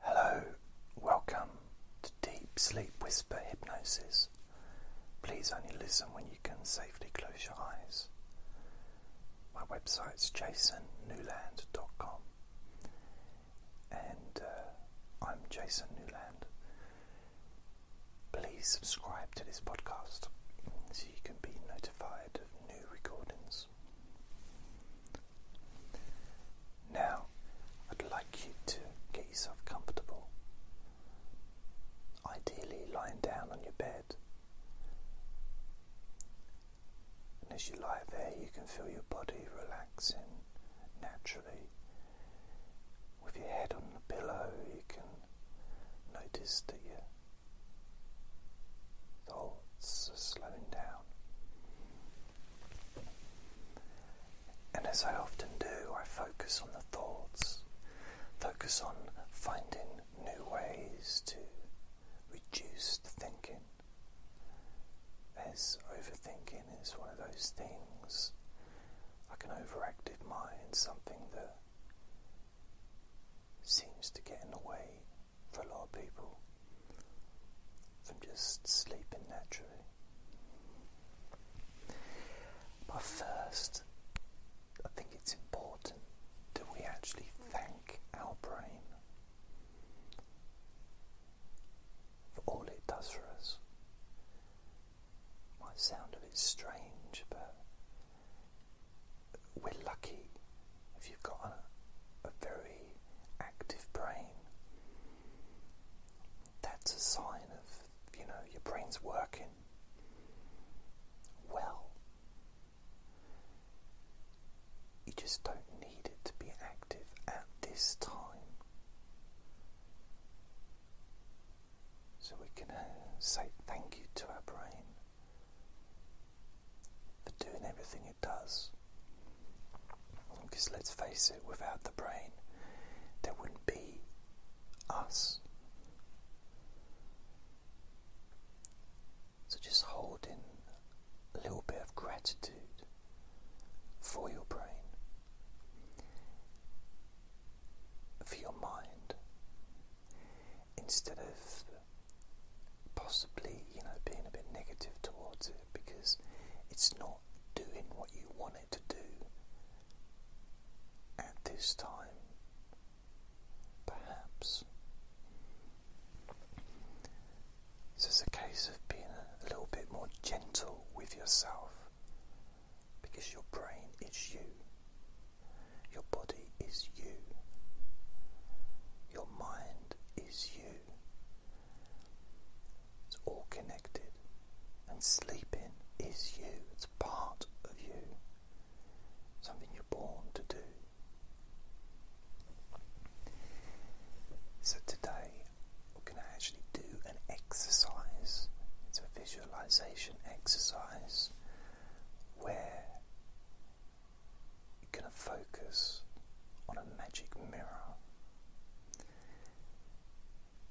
Hello, welcome to Deep Sleep Whisper Hypnosis. Please only listen when you can safely close your eyes. My website's jasonnewland.com and uh, I'm Jason Newland. Please subscribe to this podcast so you can be notified of new recordings. Now, I'd like you to get yourself comfortable, ideally lying down on your bed. And as you lie there, you can feel your body relaxing naturally. With your head on the pillow, you can notice that your thoughts are slowing down. And as I often do, I focus on the thoughts, focus on finding new ways to reduce the thinking. As overthinking is one of those things, like an overactive mind, something that seems to get in the way for a lot of people from just sleeping naturally. But first, I think it's important that we actually thank our brain for all it does for us. Might sound a bit strange, but we're lucky if you've got a, a very active brain. That's a sign of, you know, your brain's working well. You just don't need it to be active at this time. So we can uh, say thank you to our brain for doing everything it does. Because let's face it, without the brain, there wouldn't be us. So just hold in a little bit of gratitude for your brain, for your mind, instead of possibly, you know, being a bit negative towards it because it's not doing what you want it to do at this time. Perhaps. So it's a case of being a little bit more gentle with yourself because your brain is you, your body is you, your mind is you. It's all connected. And sleeping is you, it's part of you, something you're born to do. So today we're going to actually do an exercise. It's a visualization exercise where you're going to focus on a magic mirror.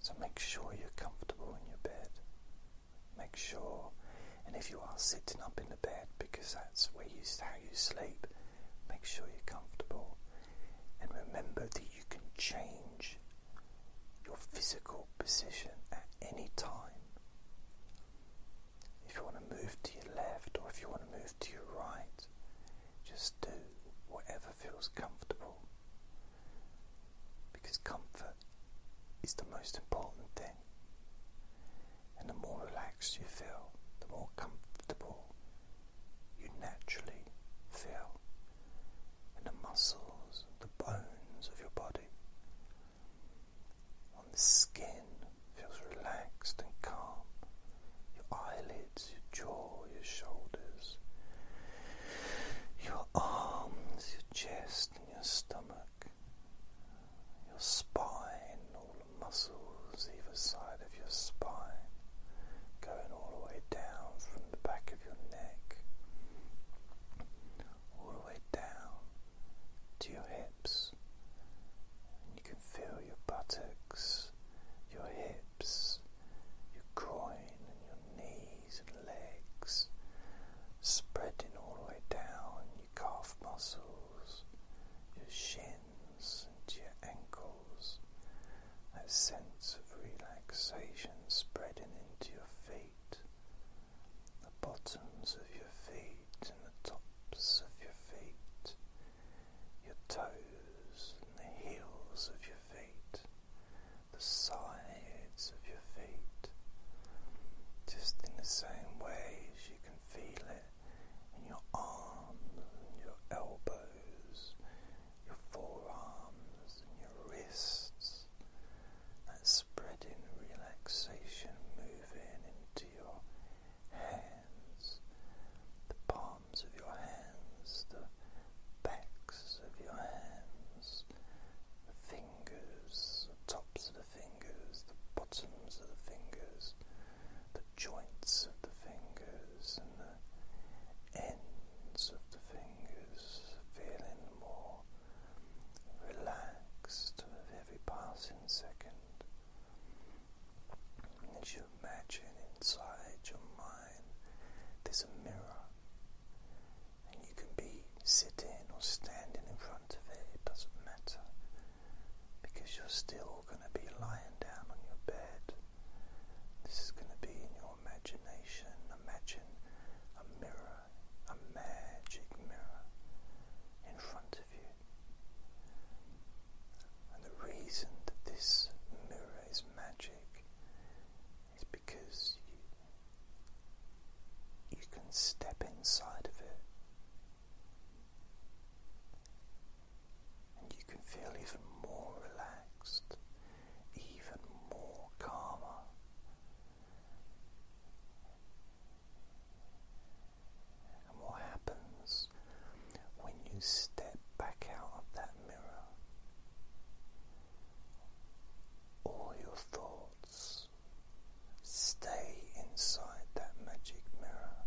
So make sure you're comfortable in your bed. Make sure, and if you are sitting up in the bed because that's where you how you sleep, make sure you're comfortable. And remember that you can change your physical position at any time. If you want to move to your left or if you want to move to your right. Just do whatever feels comfortable. Because comfort is the most important thing. And the more relaxed you feel, the more comfortable you naturally feel. And the muscles, the bones of your body, on the skin feels relaxed and calm your eyelids, your jaw, your shoulders, your arms, your chest, and your stomach, your spine, all the muscles either side of your spine, going all the way down from the back of your neck, all the way down to your hips. you can feel your buttocks, your hips your groin, and your knees and legs, spreading all the way down your calf muscles, your shins, and your ankles. That sense of relaxation spreading into your feet, the bottoms of your feet, and the tops of your feet, your toes the heels of your feet, the sides of your feet, just in the same ways you can feel it in your arms your elbows, your forearms and your wrists. That spreading relaxation moving into your hands, the palms palms of your hands, the backs of your hands, the fingers, tops of the fingers, the bottoms of the fingers, the joints of the fingers, and the ends of the fingers, feeling more relaxed with every passing second imagine inside your mind there's a mirror, and you can be sitting or standing in front of it, it doesn't matter because you're still going to be lying down on your bed. This is going to be in your imagination. Imagine a mirror, a magic mirror in front of you. And the reason that this mirror is magic is because you can step inside of it and you can feel even more relaxed, even more calmer. And what happens when you step back out of that all your thoughts stay inside that magic mirror,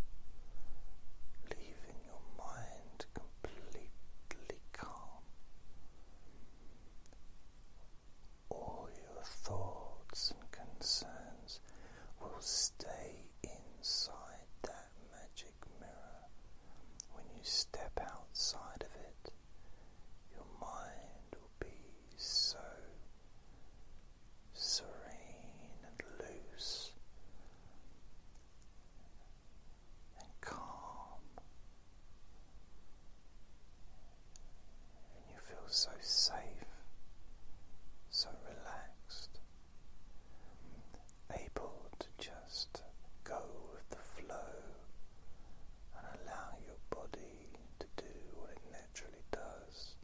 leaving your mind completely calm. All your thoughts and concerns will stay inside that magic mirror. When you step outside of it, your mind will be so serene and loose and calm, and you feel so safe, so relaxed able to just go with the flow and allow your body to do what it naturally does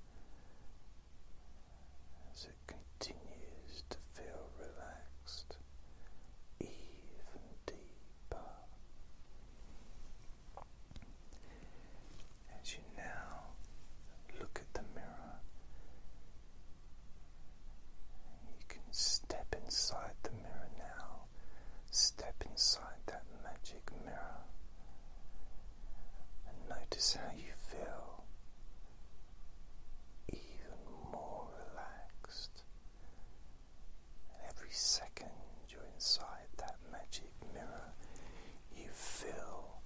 as it continues to feel relaxed even deeper. As you now look at the mirror, you can step inside the mirror now, step inside that magic mirror, and notice how you feel even more relaxed. Every second you're inside that magic mirror, you feel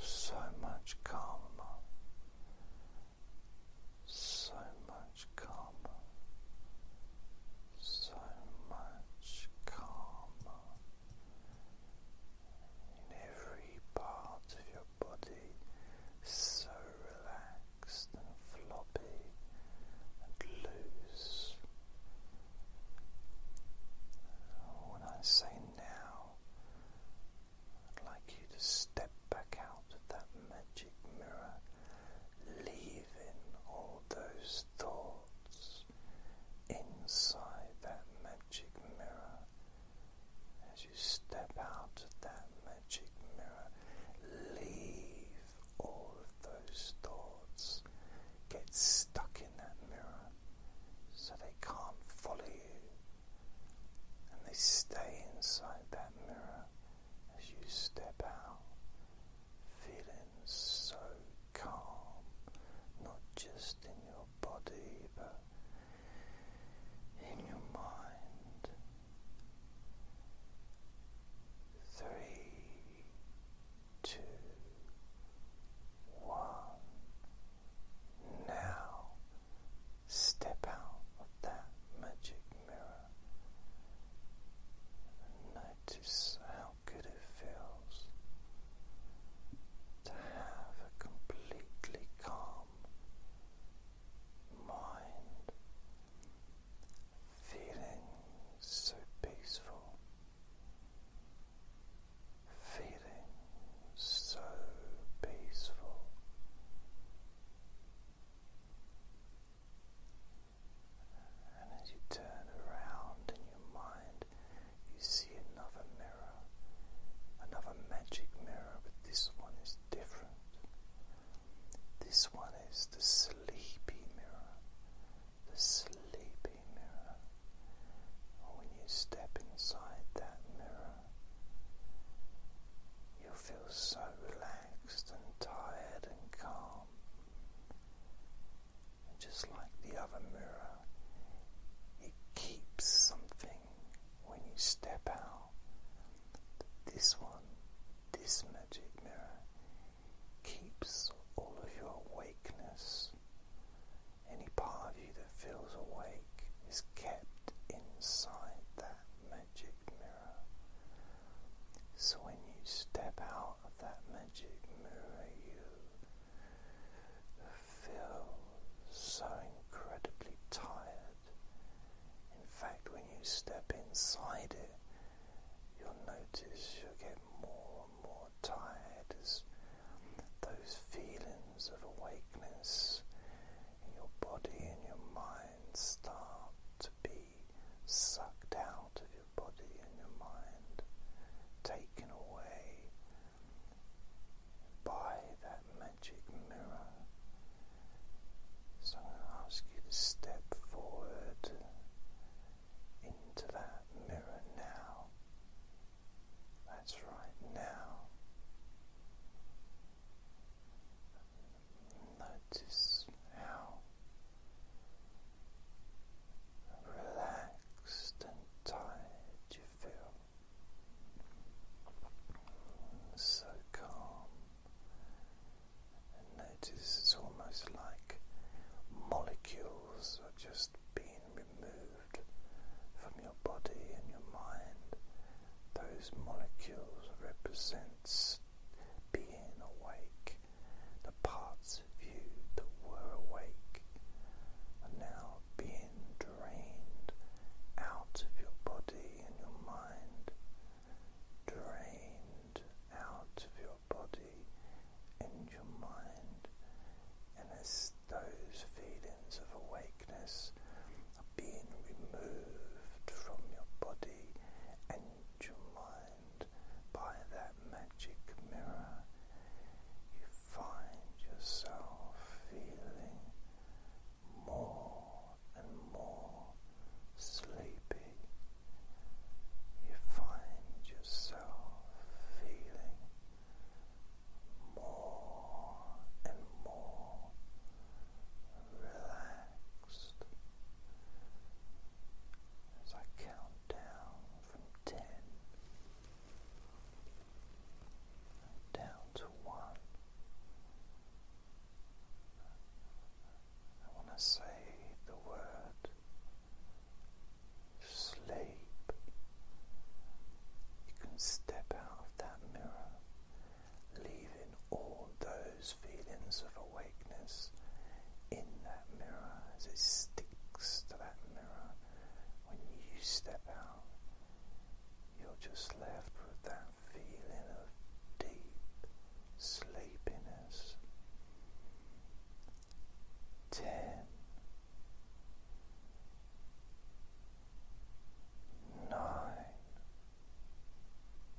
so much calmer, so much calmer, so much calmer in every part of your body, so relaxed and floppy and loose. When I say now, I'd like you to step back out of that magic mirror, leaving all those thoughts inside that magic mirror. As you step out of that magic mirror, leave all of those thoughts, get stuck in that mirror so they can't follow you and they stay inside that mirror as you step out, feeling so calm, not just in your body but in your mind. Three, two, one. Now Step out of that magic mirror and notice how good it feels to have a completely calm mind, feeling so peaceful, feeling so peaceful. And as you turn around in your mind, you see another mirror, another magic mirror, but this one is different. This one is the sleepy mirror, the sleepy mirror. when you step inside that mirror, You'll feel so relaxed and tired and calm. just like the other mirror, it keeps something when you step out. This one, this magic mirror, keeps all of your awakeness. Any part of you that feels awake is kept inside that magic mirror. So when you step out of that magic mirror, you feel so incredibly tired. In fact, when you step inside it, you'll notice you'll get more and more tired as those feelings of awakeness in your body and your mind start to be sucked out of your body and your mind, taken away by that magic mirror. So I'm going to ask you to step forward into that mirror now. That's right now. Notice how relaxed and tired you feel. So calm. notice it's almost like molecules are just being removed from your body and your mind those molecules represents being awake, the parts of you that were awake are now being drained out of your body and your mind, drained out of your body and your mind, and as those feelings of awakeness are being removed from your body and your mind by that magic mirror. You find yourself feeling more and more sleepy. You find yourself feeling more and more relaxed as I count down from ten down to one. And when I say the word sleep, you can step out of that mirror leaving all those feelings of awakeness in that mirror as it sticks to that mirror. When you step out, you're just left with that feeling of deep sleepiness. Ten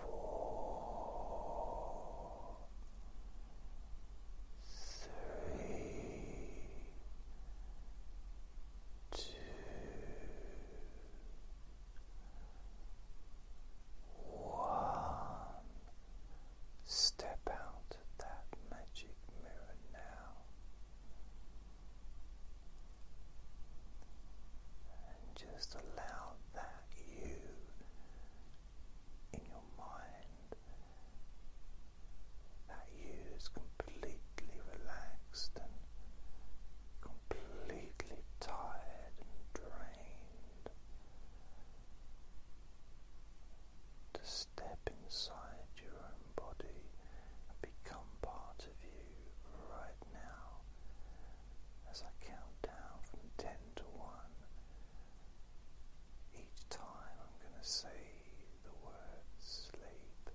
four, three, two, one. Step out of that magic mirror now. And just allow that you in your mind that you is completely relaxed and completely tired and drained to step inside your own body and become part of you right now as I count down from 10 one. Each time I'm going to say the word sleep.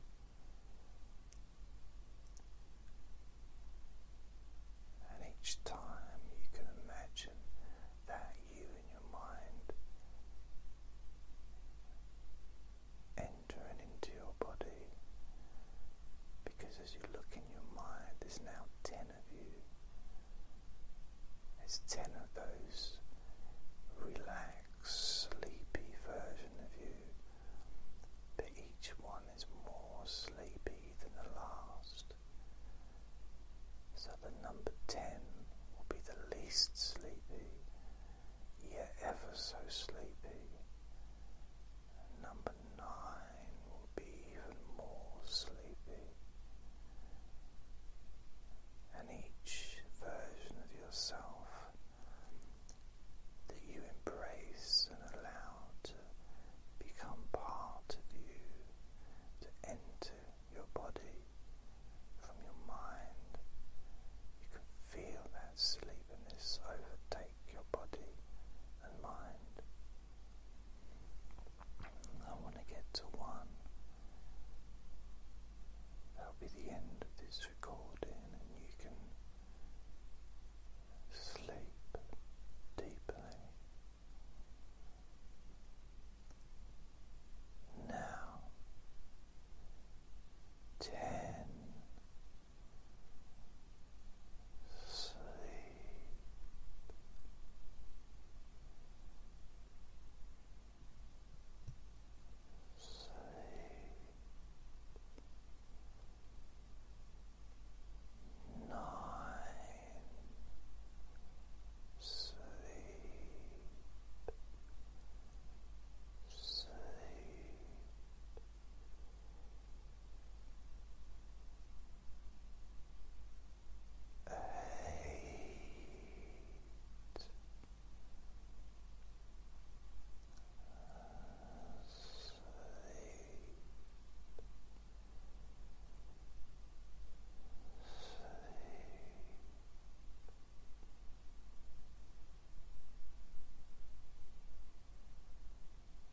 And each time you can imagine that you in your mind entering into your body because as you look in your mind, there's now ten of you. There's ten of those relaxed, sleepy version of you. But each one is more sleepy than the last. So the number ten will be the least sleepy, yet ever so sleepy. Number nine will be even more sleepy, and each version of yourself that you embrace and allow to become part of you, to enter your body from your mind, you can feel that sleepiness overtake your body and mind. I want to get to one. That'll be the end of this recording, and you can sleep deeply. Now, ten, sleep. Sleep. Nine. Sleep. Sleep. Eight. Sleep.